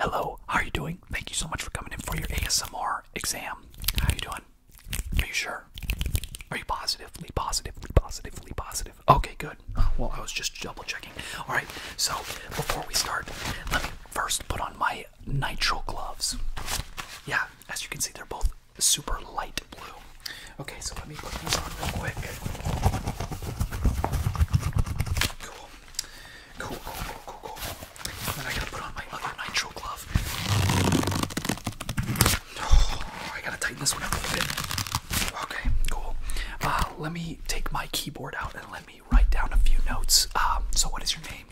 Hello, how are you doing? Thank you so much for coming in for your ASMR exam. How are you doing? Are you sure? Are you positively, positively, positively, positive? Okay, good. Well, I was just double checking. All right, so before we start, let me first put on my nitrile gloves. Yeah, as you can see, they're both super light blue. Okay, so let me put these on real quick. Cool. Cool, cool, cool, cool, cool. And then I gotta put on my other nitro glove. Oh, I gotta tighten this one up a little bit. Okay, cool. Uh, let me take my keyboard out and let me write down a few notes. Um, so, what is your name?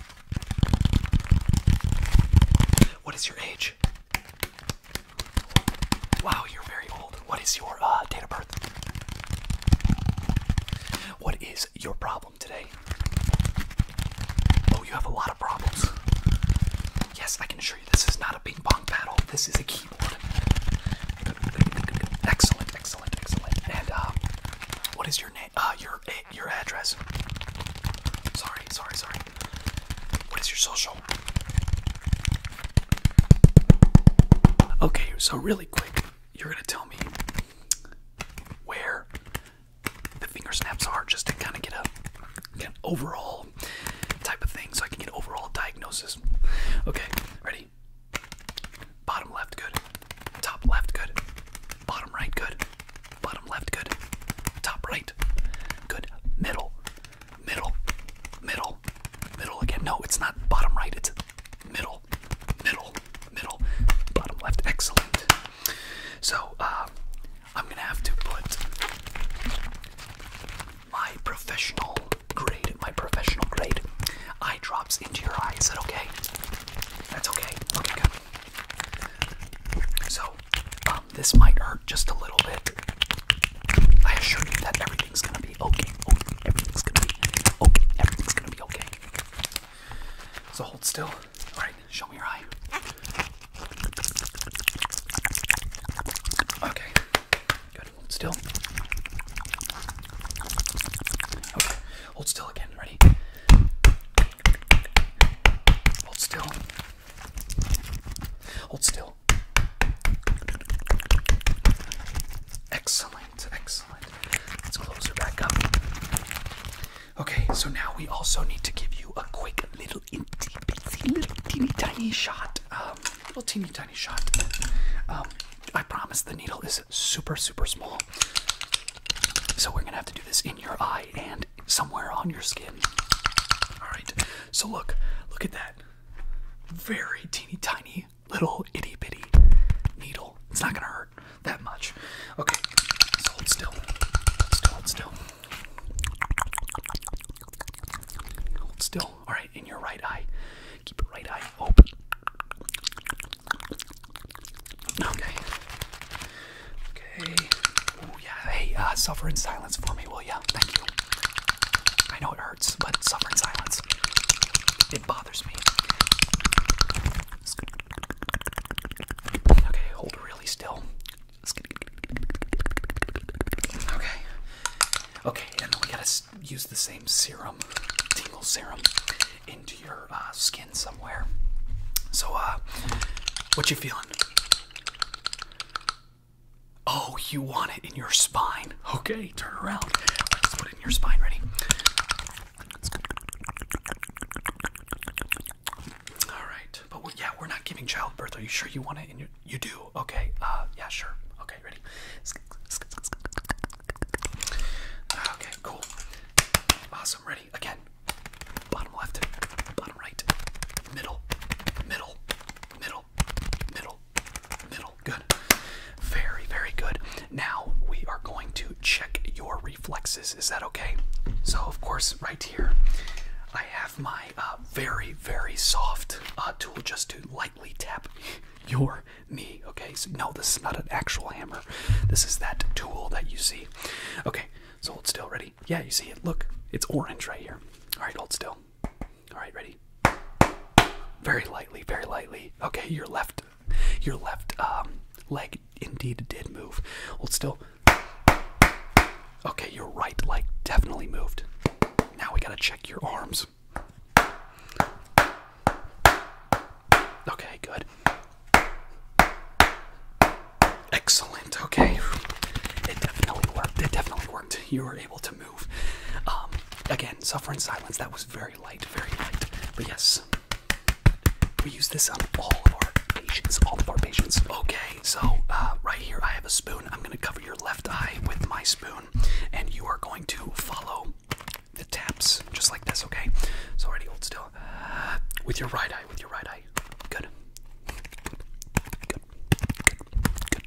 What is your age? Wow, you're very old. What is your uh, date of birth? What is your problem today? Oh, you have a lot of problems. Yes, I can assure you this is not a ping pong paddle. This is a keyboard. Excellent, excellent, excellent. And uh, what is your name? Uh, your eh, your address. Sorry, sorry, sorry. What is your social? Okay, so really quick, you're gonna tell me where the finger snaps are just to kind of get a get an overall type of thing so I can get overall diagnosis. Okay, ready? Bottom left good. Top left good. Bottom right good. Bottom left good. Top right. Good. Middle. Middle. Middle. Middle again. No, it's not bottom right, it's middle middle, middle, bottom left. Excellent. So uh, I'm gonna have to put my professional grade, my professional grade eye drops into your eye. Is that okay? That's okay. Okay, So um, this might hurt just a little bit. I assure you that everything's gonna gonna be okay. Okay, everything's gonna be okay. Everything's gonna be okay. So hold still. All right, show me your eye. Okay, good. Hold still. Okay, hold still again. Ready? Hold still. Hold still. Excellent. Excellent, excellent. Let's close her back up. Okay, so now we also need to give you a quick little itty bitsy little teeny tiny shot. Um, little teeny tiny shot. Um, I promise the needle is super super small. So we're gonna have to do this in your eye and somewhere on your skin. Alright, so look, look at that. Very teeny tiny little itty bitty needle. It's not gonna hurt that much. Okay, hold still. Hold still, hold still. Hold still. Alright, in your right eye. Keep your right eye open. Okay. Okay. Oh yeah. Hey, uh, suffer in silence for me, will you? Thank you. I know it hurts, but suffer in silence. It bothers me. Okay, hold really still. Okay. Okay, and then we gotta use the same serum, tingle serum, into your uh, skin somewhere. So, uh, what you feeling? Oh, you want it in your spine. Okay, Turn around. Let's put in your spine. Ready? All right. yeah, we're not giving childbirth. Are you sure you want it? you do. Okay. Uh, yeah, sure. Okay, ready? Okay, cool. Awesome. Ready? Again. Bottom left. Bottom right. Middle. Middle. Middle middle, middle, Good. Very, very good. Now we are going to check your reflexes. Is that okay? So, of course, right here, I have my uh, very, very soft uh, tool just to lightly tap your knee. Okay, so no, this is not an actual hammer. This is that tool that you see. Okay, so hold still. Ready? Yeah, you see it. Look, it's orange right here. All right, hold still. All right, ready? Very lightly, very lightly. Okay, your left, your left um, leg indeed did move. Hold still. Okay, your right leg definitely moved. Now we gotta check your arms. Okay, good. Excellent. Okay, it definitely worked. It definitely worked. You were able to move. Um, again, suffer in silence. That was very light, very light. But yes, we use this on all of our patients, all of our patients. Okay, so uh, right here I have a spoon. I'm gonna cover your left eye with my spoon, and you are going to follow the taps just like this. Okay, so already hold still. Uh, with your right eye, with your right eye. Good. Good. Good.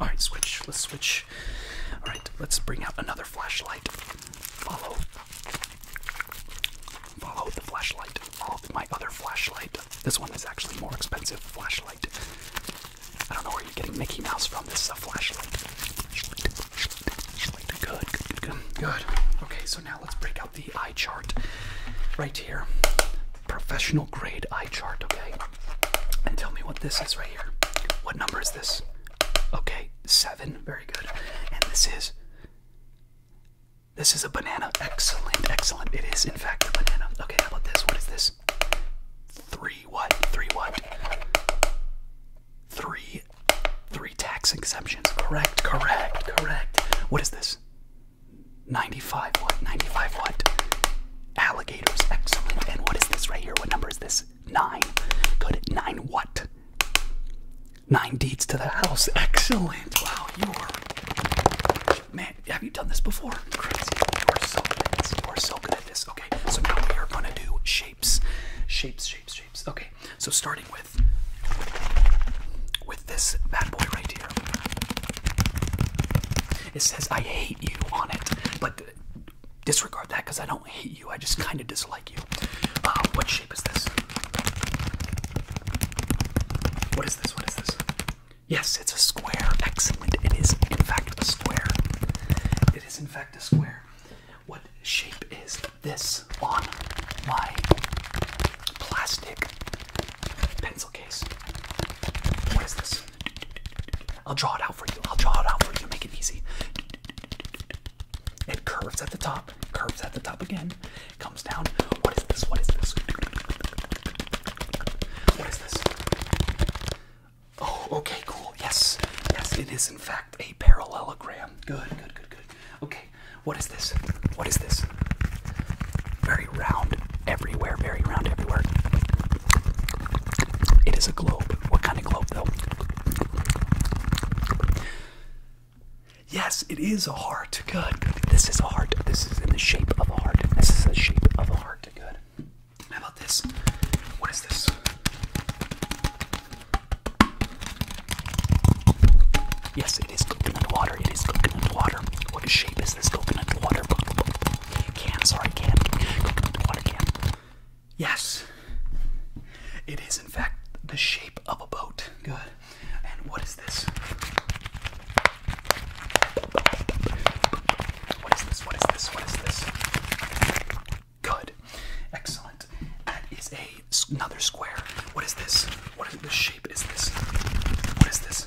Alright, switch. Let's switch. Alright, let's bring out another flashlight. Follow. Follow the flashlight. Follow my other flashlight. This one is actually more expensive flashlight. I don't know where you're getting Mickey Mouse from. This is a flashlight. good, good. Good. Okay, so now let's break out the eye chart right here. Professional grade eye chart, okay? And tell me what this is right here. What number is this? Okay, seven. Very good. And this is. This is a banana. Excellent, excellent. It is, in fact, a banana. Okay, how about this? What is this? Three what? Three what? Three. Three tax exemptions. Correct, correct, correct. What is this? 95 what? 95 what? Alligators, excellent. And what is this right here? What number is this? Nine. Good. Nine what? Nine deeds to the house. Excellent. Wow, you are. Man, have you done this before? Crazy. You are so good at this. You are so good at this. Okay, so now we are gonna do shapes. Shapes, shapes, shapes. Okay, so starting with with this bad boy right here. It says I hate you on it, but disregard that because I don't hate you. I just kind of dislike you. Uh, what shape is this? What is this? What is this? Yes, it's a square. Excellent. It is, in fact, a square. It is, in fact, a square. What shape is this on my plastic pencil case? What is this? I'll draw it out for you. I'll draw it out for you. Make it easy. It curves at the top, curves at the top again, comes down. What is this? What is this? What is this? Oh, okay, cool. Yes, yes, it is in fact a parallelogram. Good, good, good, good. Okay, what is this? What is this? Very round, everywhere, very round everywhere. It is a globe. What kind of globe, though? Yes, it is a heart. Good. This is a heart. This is in the shape of a heart. This is the shape of a heart. Good. How about this? What is this? Yes, it is coconut water. It is coconut water. What shape is this coconut water? Can, sorry, can. Water can. Yes. It is, in fact, the shape of a boat. Good. And what is this? What is this? What is this? What is this? Good. Excellent. That is a, another square. What is this? What is the shape? Is this? What is this?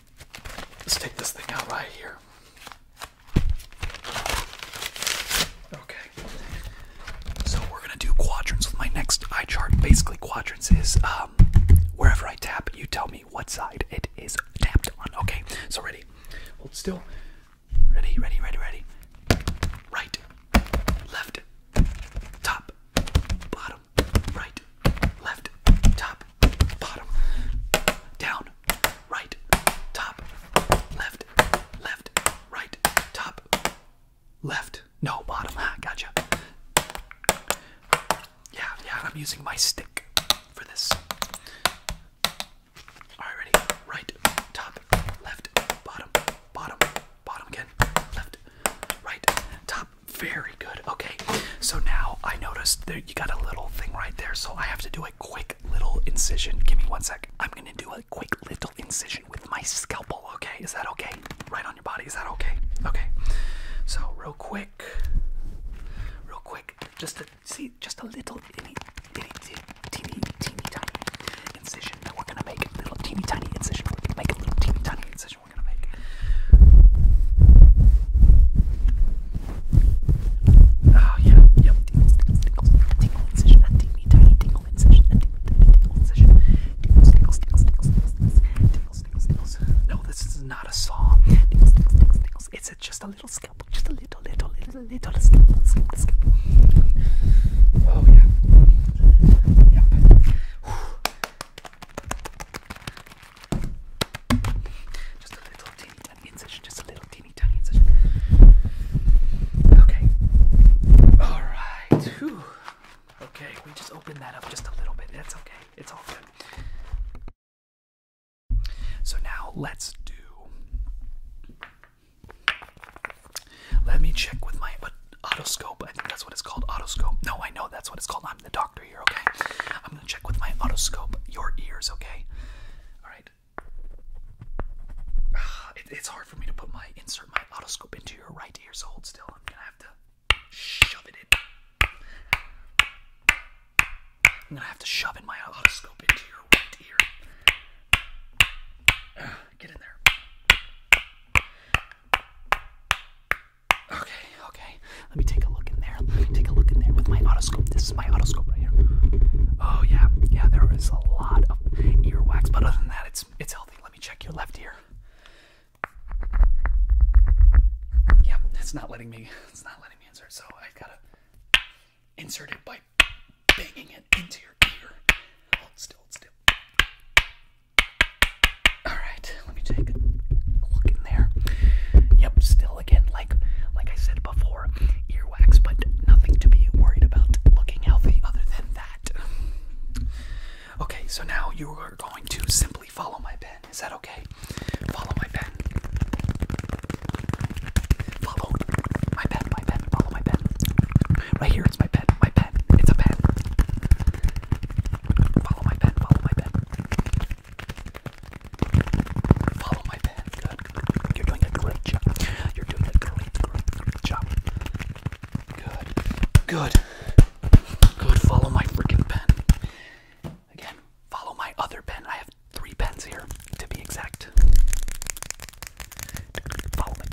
Let's take this thing out right here. Okay. So we're gonna do quadrants with my next eye chart. Basically, quadrants is um, wherever I tap, you tell me what side it is tapped on. Okay. So ready. Hold still. Ready. Ready. Ready. Ready. Right. Left. Top. Bottom right, left, top, bottom, down, right, top, left, left, right, top, left. No, bottom. Ah, gotcha. Yeah, yeah, I'm using my stick for this. Alright, ready? Right, top, left, bottom, bottom, bottom again, left, right, top. Very good. Okay, so now I noticed that you got a little thing right there, so I have to do a quick little incision. Give me one second. I'm gonna do a quick little incision with my scalpel, okay? Is that okay? Right on your body, is that okay? Okay, so real quick, real quick, just to see, just a little itty, itty, itty, teeny, teeny tiny incision. Now we're gonna make a little teeny tiny incision. We're gonna make a little teeny tiny incision. Oh yeah, yep. No, this is not a saw. It's just a little scalpel, just a little, little, little, little scalpel, Oh yeah. Yep. Just a little teeny tiny incision, just a little teeny tiny incision. Okay. Alright. Okay, we just opened that up just a little bit. That's okay. It's all good. So now let's do. Let me check with my otoscope. I think that's what it's called. Otoscope. No, I know that's what it's called. I'm the doctor here, okay? I'm gonna check with my otoscope your ears, okay? Alright. Ah, it's hard for me to put my insert my otoscope into your right ear, so hold still. I'm gonna have to shove it in. I'm gonna have to shove in my otoscope into your right ear. Ah, get in there. Okay, okay. Let me take a look in there. Let me take a look in there with my otoscope. This is my otoscope right here. Oh yeah, yeah. There is a lot of ear wax, but other than that, it's it's healthy. Let me check your left ear. Yep, it's not letting me. It's not letting me insert. So i gotta insert it by banging it into your ear. Hold still, hold still. Alright, let me take a look in there. Yep, still again, like like I said before, earwax, but nothing to be worried about looking healthy other than that. Okay, so now you are going to simply follow my pen. Is that okay? Follow my pen. Follow my pen, my pen, follow my pen. Right here, it's my pen, my pen, it's a pen. Follow my pen, follow my pen. Follow my pen. Good, good. You're doing a great job. You're doing a great, job. Good. Good. Good. Follow my freaking pen. Again, follow my other pen. I have three pens here, to be exact. Follow my pen.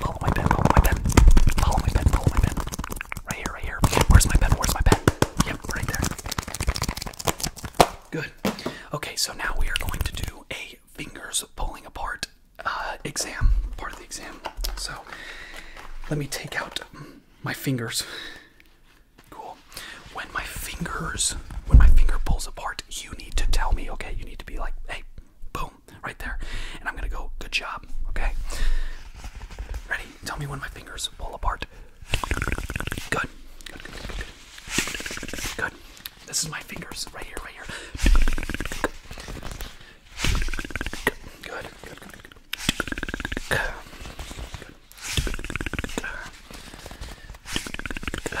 Follow my pen, follow my pen. Follow my pen, follow my pen. Right here, right here. Where's my pen? Where's my pen? Yep, right there. Good. Okay, so now we are going to do a fingers pulling apart uh, exam, part of the exam. So let me take out my fingers. Cool. When my fingers, when my finger pulls apart, you need to tell me, okay? You need to be like, hey, boom, right there. And I'm gonna go, good job, okay? Ready? Tell me when my fingers pull apart. Good. Good, good, This is my fingers, right here, right here. Good, good, good, good. Good. Good. Good.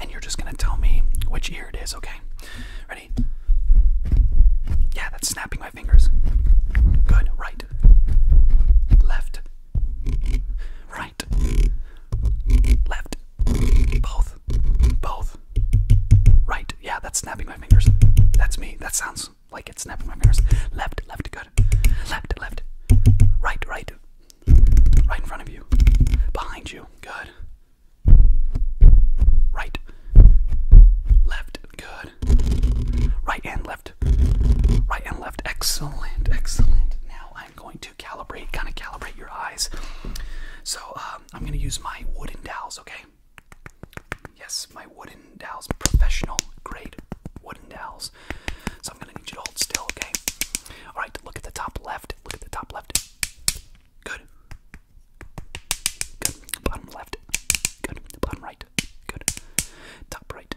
and you're just gonna tell me which ear it is, okay? Ready? Yeah, that's snapping my fingers. Good, right, left, right, left, both, both, right. Yeah, that's snapping my fingers. That's me. That sounds like it's snapping my fingers. Left, left, good. Left, left, right, right, Right in front of you. Behind you. Good. Right. Left. Good. Right and left. Right and left. Excellent. Excellent. Now I'm going to calibrate, kind of calibrate your eyes. So um, I'm going to use my wooden dowels, okay? Yes, my wooden dowels. Professional grade wooden dowels. So I'm gonna need you to hold still, okay? Alright, look at the top left. Look at the top left. Good. Good. Bottom left. Good. Bottom right. Good. Top right.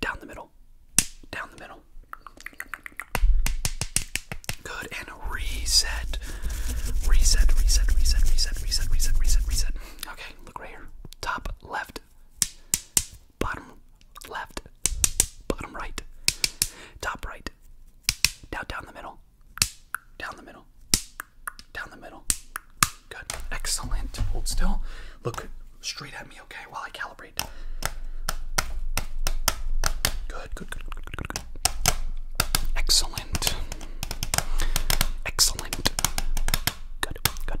Down the middle. Down the middle. Good. And Reset, reset, reset, reset, reset, reset, reset, reset. Okay, look right here. Top left bottom left, bottom right, top right, down down the middle, down the middle, down the middle. Good, excellent. Hold still. Look straight at me, okay? While I calibrate. Good, good, good, good, good, good, Excellent. Excellent. Good, good.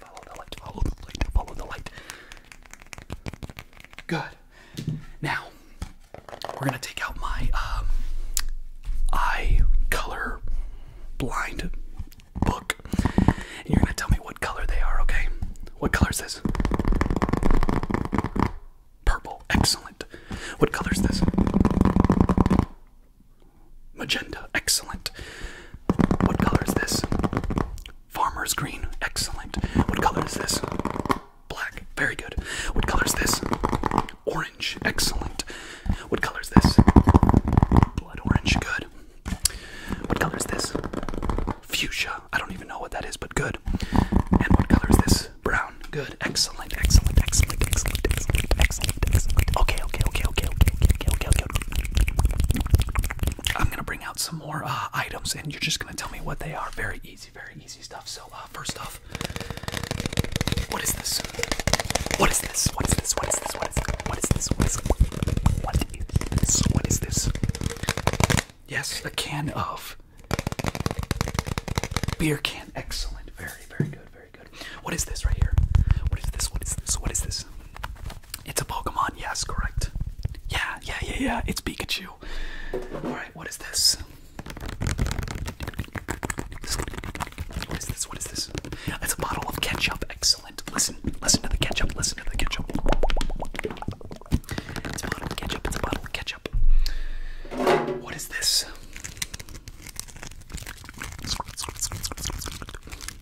follow the light, follow the light, follow the light. Good. Now, we're gonna take out my um, eye color blind book, and you're gonna tell me what color they are, okay? What color is this? Purple. Excellent. What color is this? Magenta, excellent. What color is this? Farmer's green, excellent. What color is this? Black, very good. What color is this? Orange, excellent. What color is this? Blood orange, good. What color is this? Fuchsia, I don't even know what that is, but good. And what color is this? Brown, good. Excellent, excellent, excellent, excellent, excellent, excellent. Okay, okay, okay, okay, okay, okay, okay, okay, I'm gonna bring out some more uh, items, and you're just gonna tell me what they are. Very easy, very easy stuff. So, uh, first off, what is this? What is this? What is this? What is this? What is this? What is this? What is this? What is this? What is this? Yes, a can of beer can. Excellent. Very, very good. Very what is this right here? What is this? What is this? What is this? It's a Pokemon, yes, correct. Yeah, yeah, yeah, yeah, it's Pikachu. Alright, what is this? What is this? What is this? It's a bottle of ketchup. Excellent. Listen, listen to the ketchup, listen to the ketchup. It's a bottle of ketchup, it's a bottle of ketchup. What is this?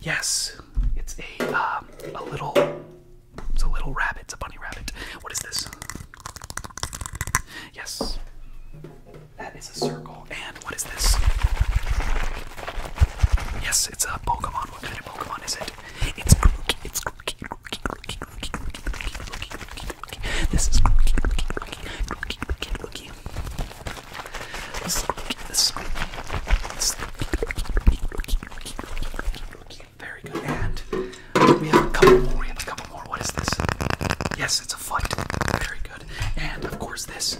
Yes, it's a uh, a little. It's a little rabbit. It's a bunny rabbit. What is this? Yes, that is a circle. And what is this? Yes, it's a Pokemon. What kind of Pokemon is it? It's Grookey. It's Grookey. Grookey. Grookey. Grookey. Grookey. Grookey. Grookey. This is Grookey. Grookey. Grookey. Grookey. Grookey. Very good. And we have a couple more. We have a couple more. What is this? Yes, it's a foot. Very good. And of course, this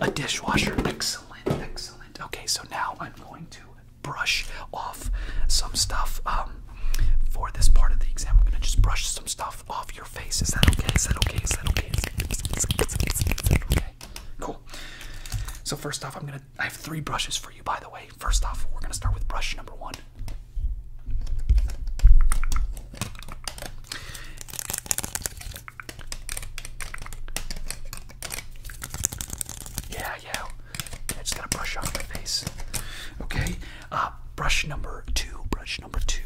a dishwasher. Excellent. Excellent. Okay, so now I'm going to brush off some stuff um, for this part of the exam. I'm going to just brush some stuff off your face. Is that okay? Is that okay? Is that okay? okay? Cool. So first off, I'm gonna I have three brushes for you by the way. First off, we're gonna start with brush number one. Yeah, yeah. just gotta brush off my face. Okay. Uh, brush number two. Brush number two.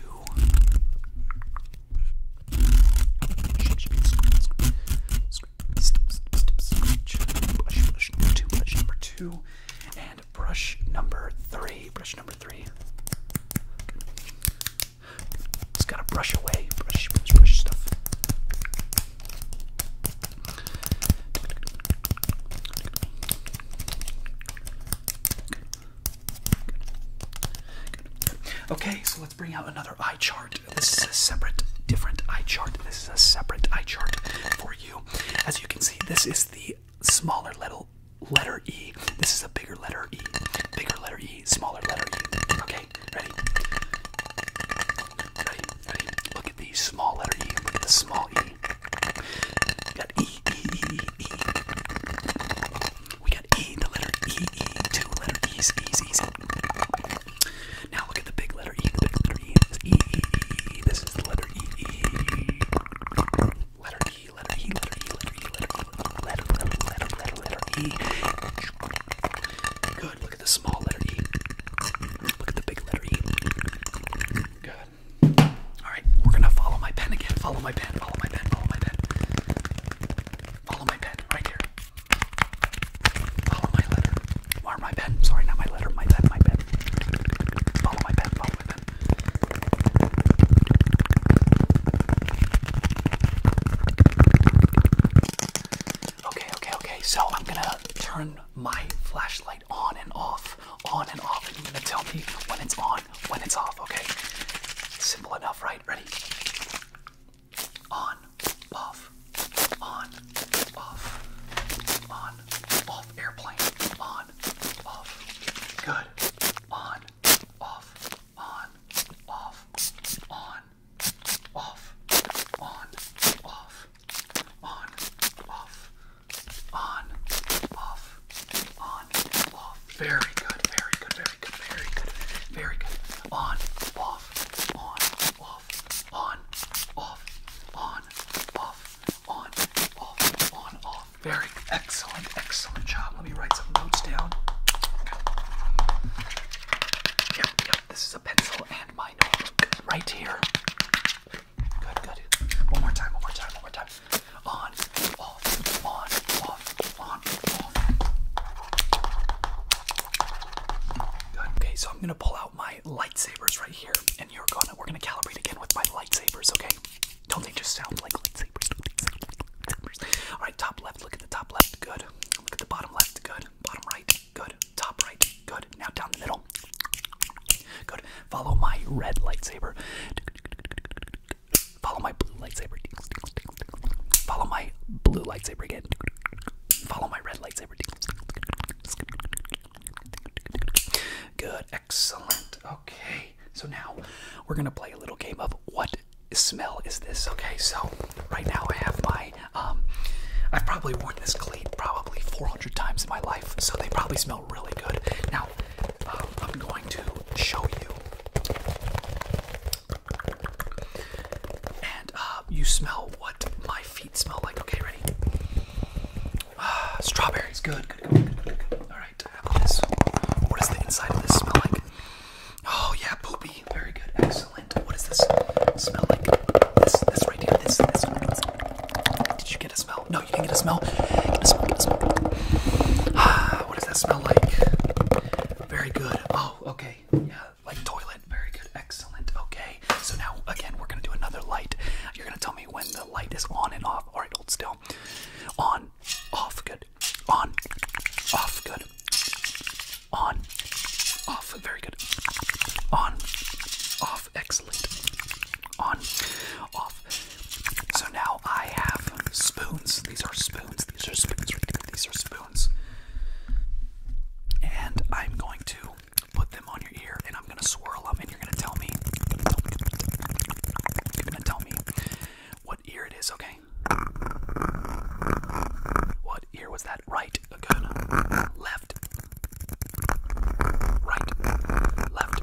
Brush, brush number two, brush number two, and brush number three. Brush number three. Good. Just gotta brush away. Brush, brush, brush stuff. Good. Okay, so let's bring out another eye chart. This is a separate, different eye chart. This is a separate eye chart for you. As you can see, this is the smaller little letter E. This is a bigger letter E. Bigger letter E, smaller letter E. Okay, ready? Ready, ready. Look at the small letter E. Look at the small E. got E, E, E, E, E. We got E, the letter E, E, two letter E's, E's, E's. Now look at the big letter E, the big letter E, this E, E, E, E, this is the letter E, E, letter E, letter E, letter E, letter E, letter E, letter, letter, letter, letter, letter E. Good, look at the small letter E. Look at the big letter E. Good. All right, we're gonna follow my pen again. Follow my pen. Follow my pen. Follow my pen. Follow my pen right here. Follow my letter. Or my pen. Sorry, not my letter. My pen. My pen. Follow my pen. Follow my pen. Okay, okay, okay. So I'm gonna turn my flashlight on and off, on and off, and you're gonna tell me when it's on when it's off, okay? Simple enough, right? Ready? On, off, on, off, on, off, airplane, on, off, good, on, off, on, off, on, off, on, off, on, off, on, on, off. Very good, very good, very good, very good, very good. On, off, on, off, on, off, on, off, on, off, on, off. Very excellent, excellent job. Let me write some notes down. Yep, yep, this is a pencil and my notebook right here. Good, good. One more time, one more time, one more time on, off, on, off, on, off. Good. Okay, so I'm gonna pull out my lightsabers right here, and you're gonna we're gonna calibrate again with my lightsabers. Okay, don't they just sound like lightsabers? lightsabers. All right, top left. Look at the top left. Good. Look at the bottom left. Good. Bottom right. Good. Top right. Good. Now down the middle. Good. Follow my red lightsaber. Follow my blue lightsaber. Follow my blue lightsaber again. Follow my red lightsaber. Good, excellent. Okay, so now we're gonna play a little game of what smell is this? Okay, so right now I have my um, I've probably worn this cleat probably 400 times in my life, so they probably smell really good. Now um, I'm going to show you. And uh, you smell what my feet smell like. Okay, ready? Ah, strawberries. Good, good, good, good, Alright, What is this? What does the inside of this smell like? Oh, yeah, poopy. Very good. Excellent. What does this smell like? This, this right here. This, this. Did you get a smell? No. No, you didn't get a smell. Get a smell, get a smell. Ah, what does that smell like? Very good. Oh, okay. Yeah, like toilet. Very good. Excellent. Okay. So now, again, we're going to do another light. You're going to tell me when the light is on and off. All right, hold still. On, off, good. On, off, good. On, off, very good. On, off, excellent. On, off, so now I have spoons. These are spoons. These are spoons. These are spoons. And I'm going to put them on your ear and I'm going to swirl them and you're going to tell me. You're going to tell me what ear it is, okay? What ear was that? Right. Good. Left. Right. Left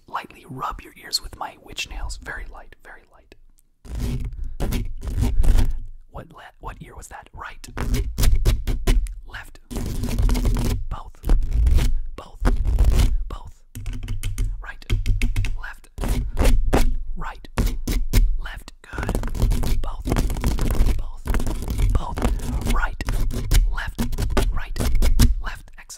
lightly rub your ears with my witch nails. Very light, very light. What what ear was that? Right. Left. Both. Both. Both. Right. Left. Right. Left. Good. Both. Both. Both. Right. Left. Right. Left.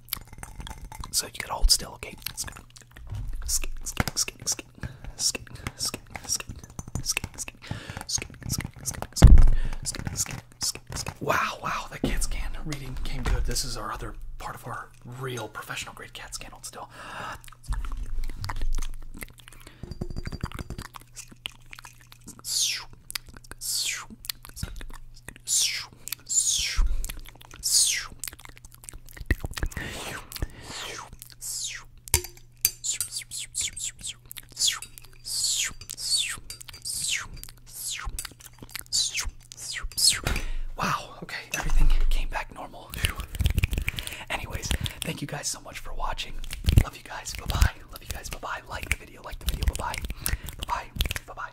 So you gotta hold still, okay? Skate, skate, skate, skate, skate, skate, skate, skate, skate, skate, skate, skate, skate, Wow, wow, that CAT scan reading came good. This is our other part of our real professional grade CAT scan. Hold still. Wow, okay, everything came back normal. Anyways, thank you guys so much for watching. Love you guys. Bye bye. Love you guys. Bye bye. Like the video. Like the video. Bye bye. Bye bye. Bye bye.